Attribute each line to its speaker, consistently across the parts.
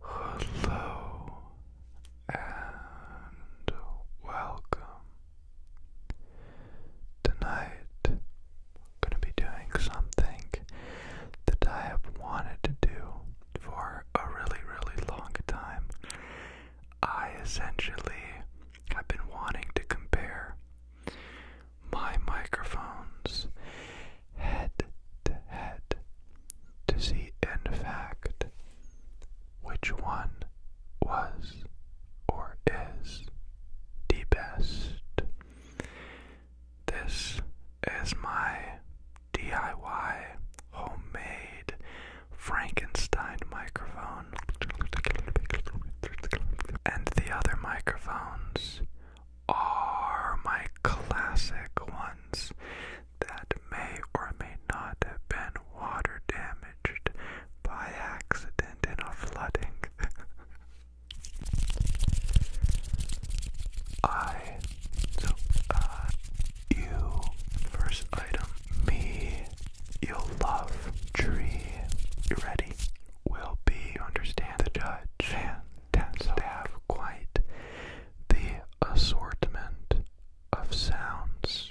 Speaker 1: Hello and welcome. Tonight I'm going to be doing something that I have wanted to do for a really, really long time. I essentially have been wanting to compare my microphones head to head to see, in fact, which one was or is the best. This is my DIY homemade Frankenstein microphone and the other microphones are my classic ones that may or may not have been water damaged by accident in a flooding. I so uh you first item me You'll love, tree, you ready, will be, understand, the judge, fantastic, have quite the assortment of sounds.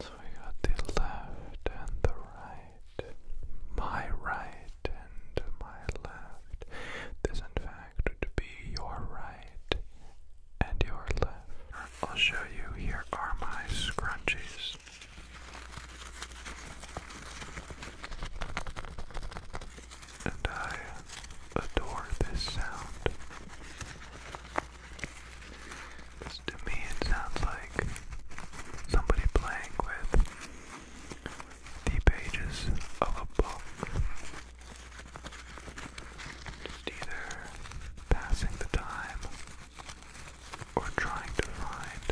Speaker 1: So we got the left and the right, my right and my left. This, in fact, would be your right and your left. I'll show you, here are my scrunchies. And I adore this sound. to me, it sounds like somebody playing with the pages of a book. Just either passing the time or trying to find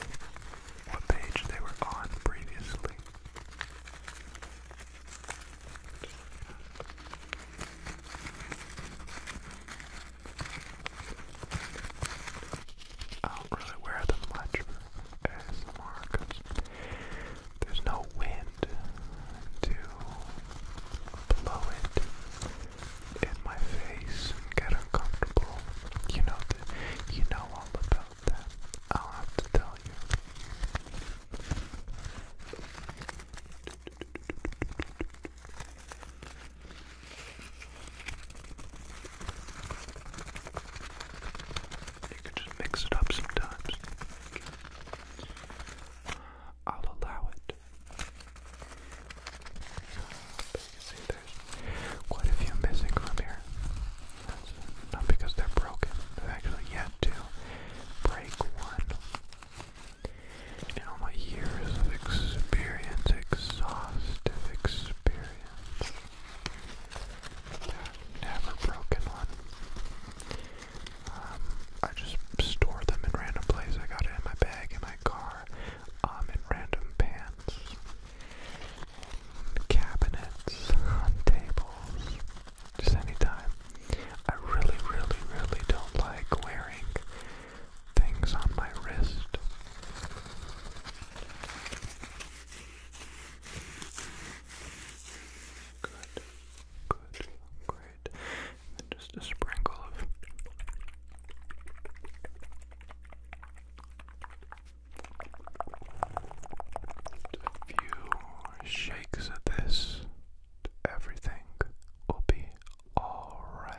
Speaker 1: what page they were on previously. I don't really wear them much for ASMR there's no wind to blow it in my face and get uncomfortable. You know that. You know all about that. I'll have to tell you. You can just mix it up sometimes. I'll allow it. But you see there's quite a few missing from here. That's not because they're broken. They've actually yet to break one. In all my years of experience, exhaustive experience, never broken one. Um, I just store them in random places. I got it in my bag, in my car, um, in random pants, cabinets, on tables, just anytime. I really, really, really don't like wearing things on my wrist. Good. Good, great. just a sprinkle of a few shakes of this, everything will be alright.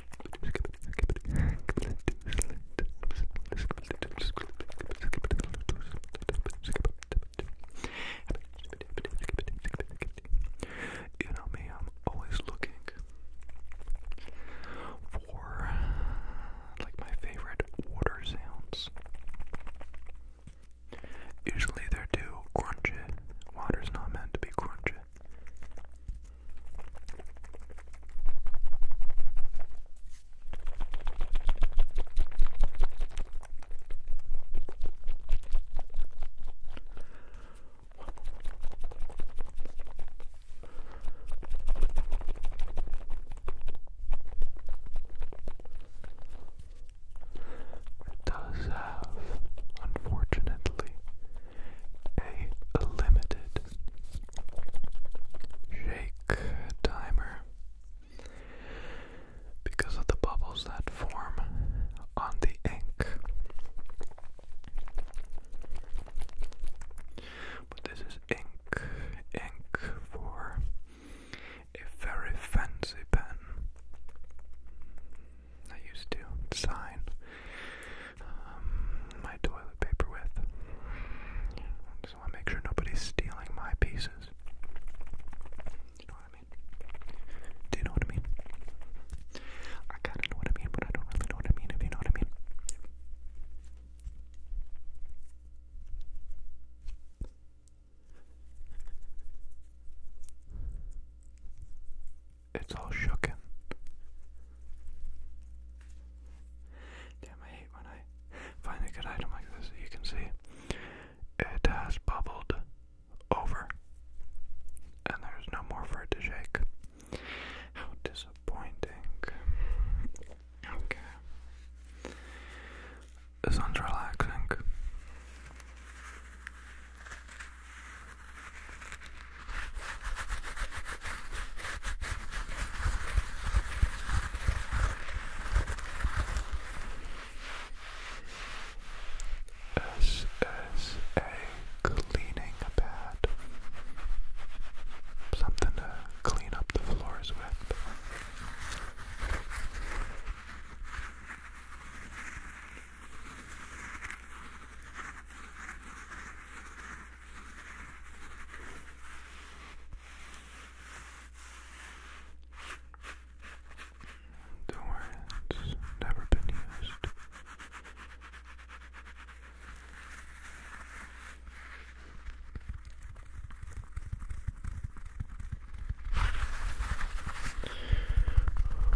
Speaker 1: You know me, I'm always looking for like my favorite water sounds. Usually they're too crunchy. Water's not meant to be crunchy. It does have, unfortunately, a limited shake timer because of the bubbles that form on the ink. But this is ink, ink for a very fancy pen. I used to sign um, my toilet paper with. Just want to make sure nobody's stealing my pieces. you know what I mean? Do you know what I mean? I kind of know what I mean, but I don't really know what I mean, if you know what I mean. It's all shooken. Damn, I hate when I find a good item like this. You can see it has bubbled over, and there's no more for it to shake. How disappointing. Okay. This one's relaxing. This cleaning pad. Something to clean up the floors with. Don't worry, it's never been used.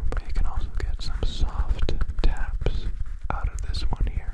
Speaker 1: But you can also get some soft taps out of this one here.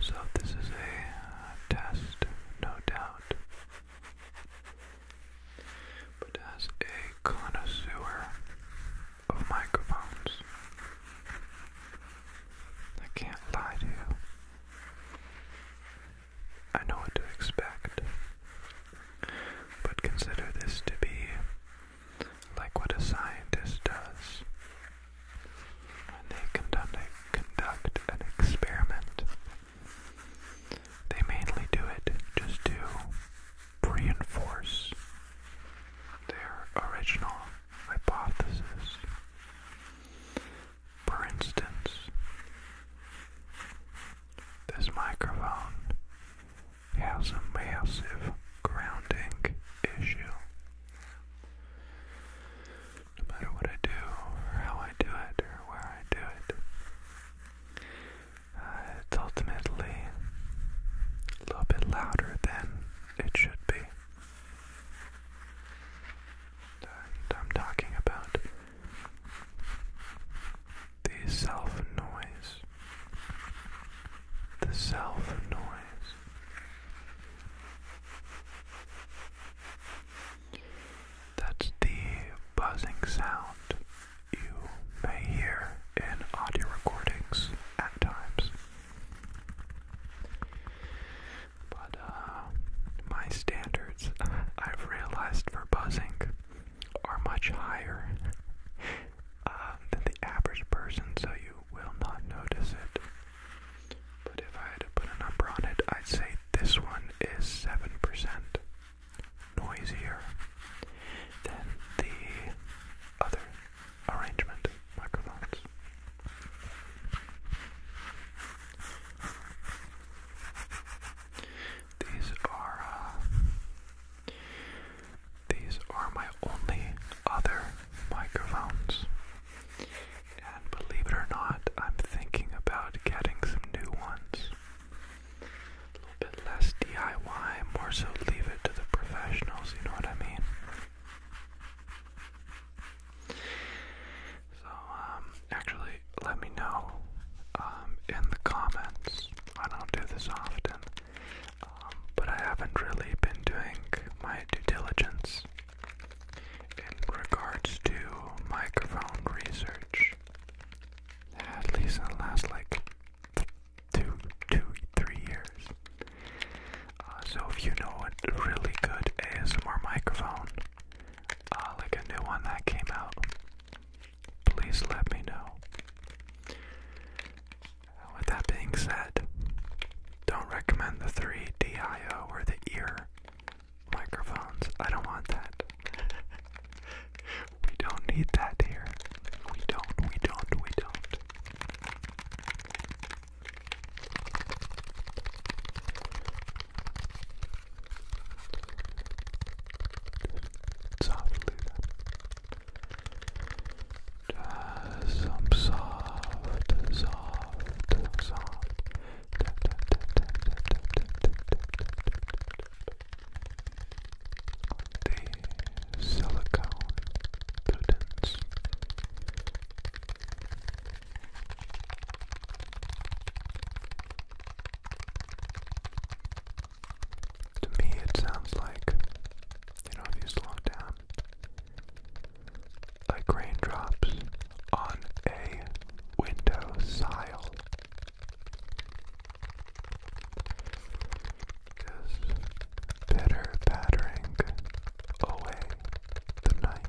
Speaker 1: So, this is a uh, test, no doubt. But as a connoisseur of microphones, I can't lie to you. I know what to expect. But consider this to be like what a scientist does when they conduct, a, conduct an experiment. They mainly do it just to reinforce their original hypothesis. For instance, this microphone has a massive grounding issue. No matter what I do, how I do it, or where I do it, uh, it's ultimately a little bit louder than it should be. And I'm talking about the self noise, the self noise. That's the buzzing sound you may hear in audio recordings at times. But uh, my standards, I've realized for buzzing are much higher uh, than the average person, so you will not notice it. But if I had to put a number on it, I'd say this one is 7% noisier than the other arrangement microphones. These are uh, these are my only other microphones. And believe it or not, I'm thinking about getting some new ones. A little bit less DIY, more so leave it to the professionals, you know what I mean? So, um, actually, let me know um, in the comments I don't do this often, um, but I haven't really been doing my due diligence in regards to microphone research. At least in the last like two, two, three years. Uh, so if you know a really good ASMR microphone, uh, like a new one that came out, please let me know. With that being said, don't recommend the three DIO or the ear microphones. I don't want that. we don't need that here. We don't, we don't, we don't softly then. Just some soft, soft, soft. The silicone students. To me, it sounds like, you know, if you slow down, like raindrops on a window sile. Just pitter pattering away the night.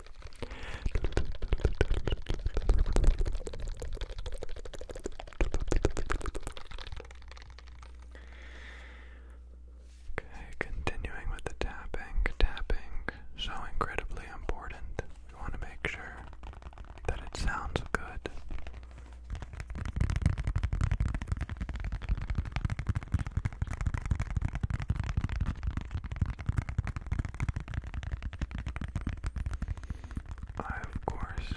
Speaker 1: Okay, continuing with the tapping, tapping, so incredibly important. We want to make sure that it sounds good. I, of course,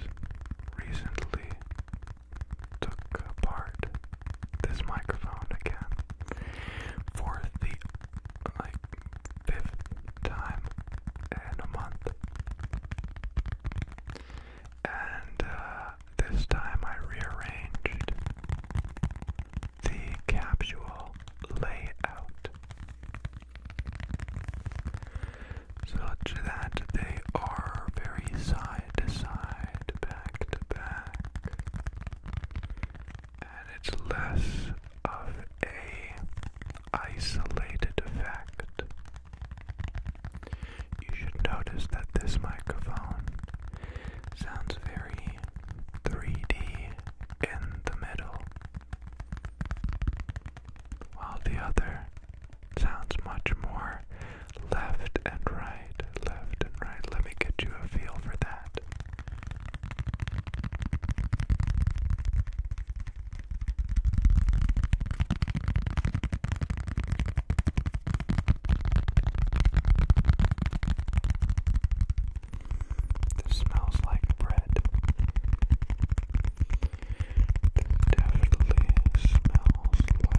Speaker 1: recently took apart this microphone again for the like fifth time in a month. And uh, this time I rearranged the capsule layout such that they are very side to side, back to back, and it's less of a isolated effect. You should notice that this microphone sounds very 3D in the middle, while the other sounds much more left and right, left and right. Let me get you a feel for that. This smells like bread. definitely smells like bread.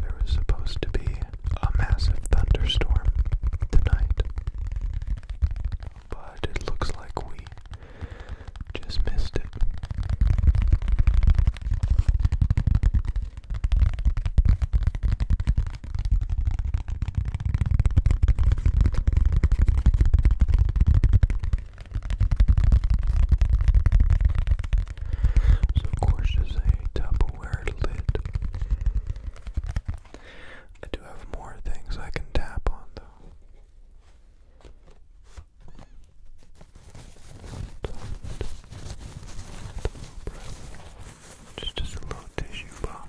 Speaker 1: There was supposed to be a massive thunderstorm tonight, but it looks like we just missed it. So of course is a Tupperware lid. I do have more things I can tap on though. Just, just a little tissue box.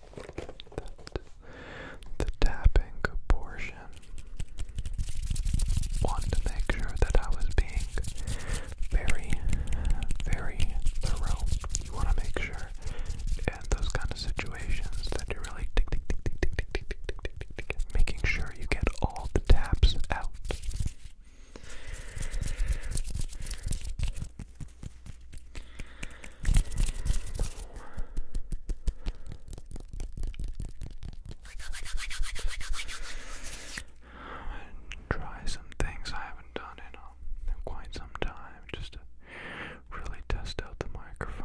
Speaker 1: the tapping portion. Wanted to make sure that I was being very, very thorough. You want to make sure in those kind of situations that you're really making sure you get all the taps out. Try some things I haven't done um, in, quite some time just to really test out the microphone.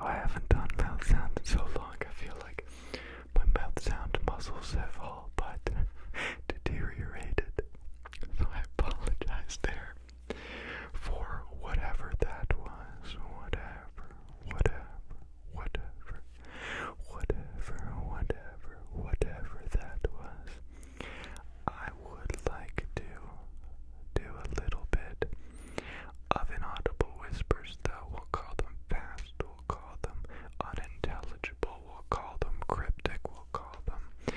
Speaker 1: I haven't done mouth sound in so long. I feel like my mouth sound muscles have all but deteriorated. So I apologize there for whatever that was. Whatever, whatever, whatever, whatever, whatever, whatever that was. I would like to do a little bit of inaudible whispers, We'll call them fast, we'll call them unintelligible, we'll call them cryptic, we'll call them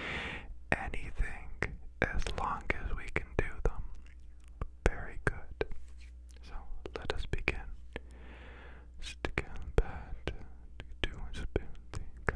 Speaker 1: anything as long as we can do them. Very good. So let us begin. Stick and bat, do and spin, think, i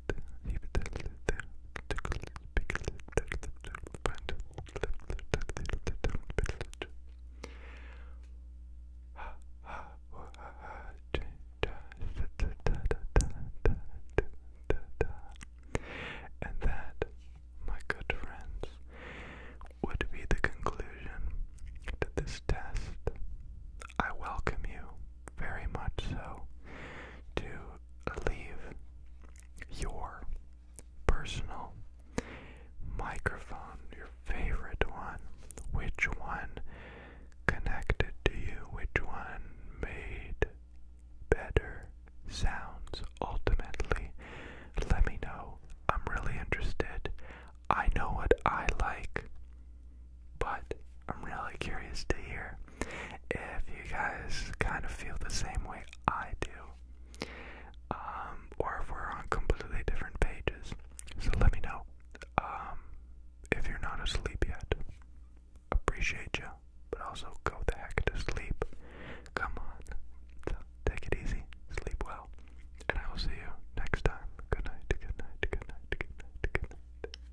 Speaker 1: And that, my good friends, would be the conclusion to this test. I welcome you very much so to leave your personal microphone, your favorite one, which one connected to you, which one made better sounds ultimately. Let me know. I'm really interested. I know what I like. But I'm really curious to hear if you guys kind of feel the same way I do, um, or if we're on completely different pages. So let me know um, if you're not asleep yet. Appreciate you, but also go the heck to sleep. Come on, take it easy, sleep well, and I will see you next time. Good night. Good night. Good night. Good night. Good night.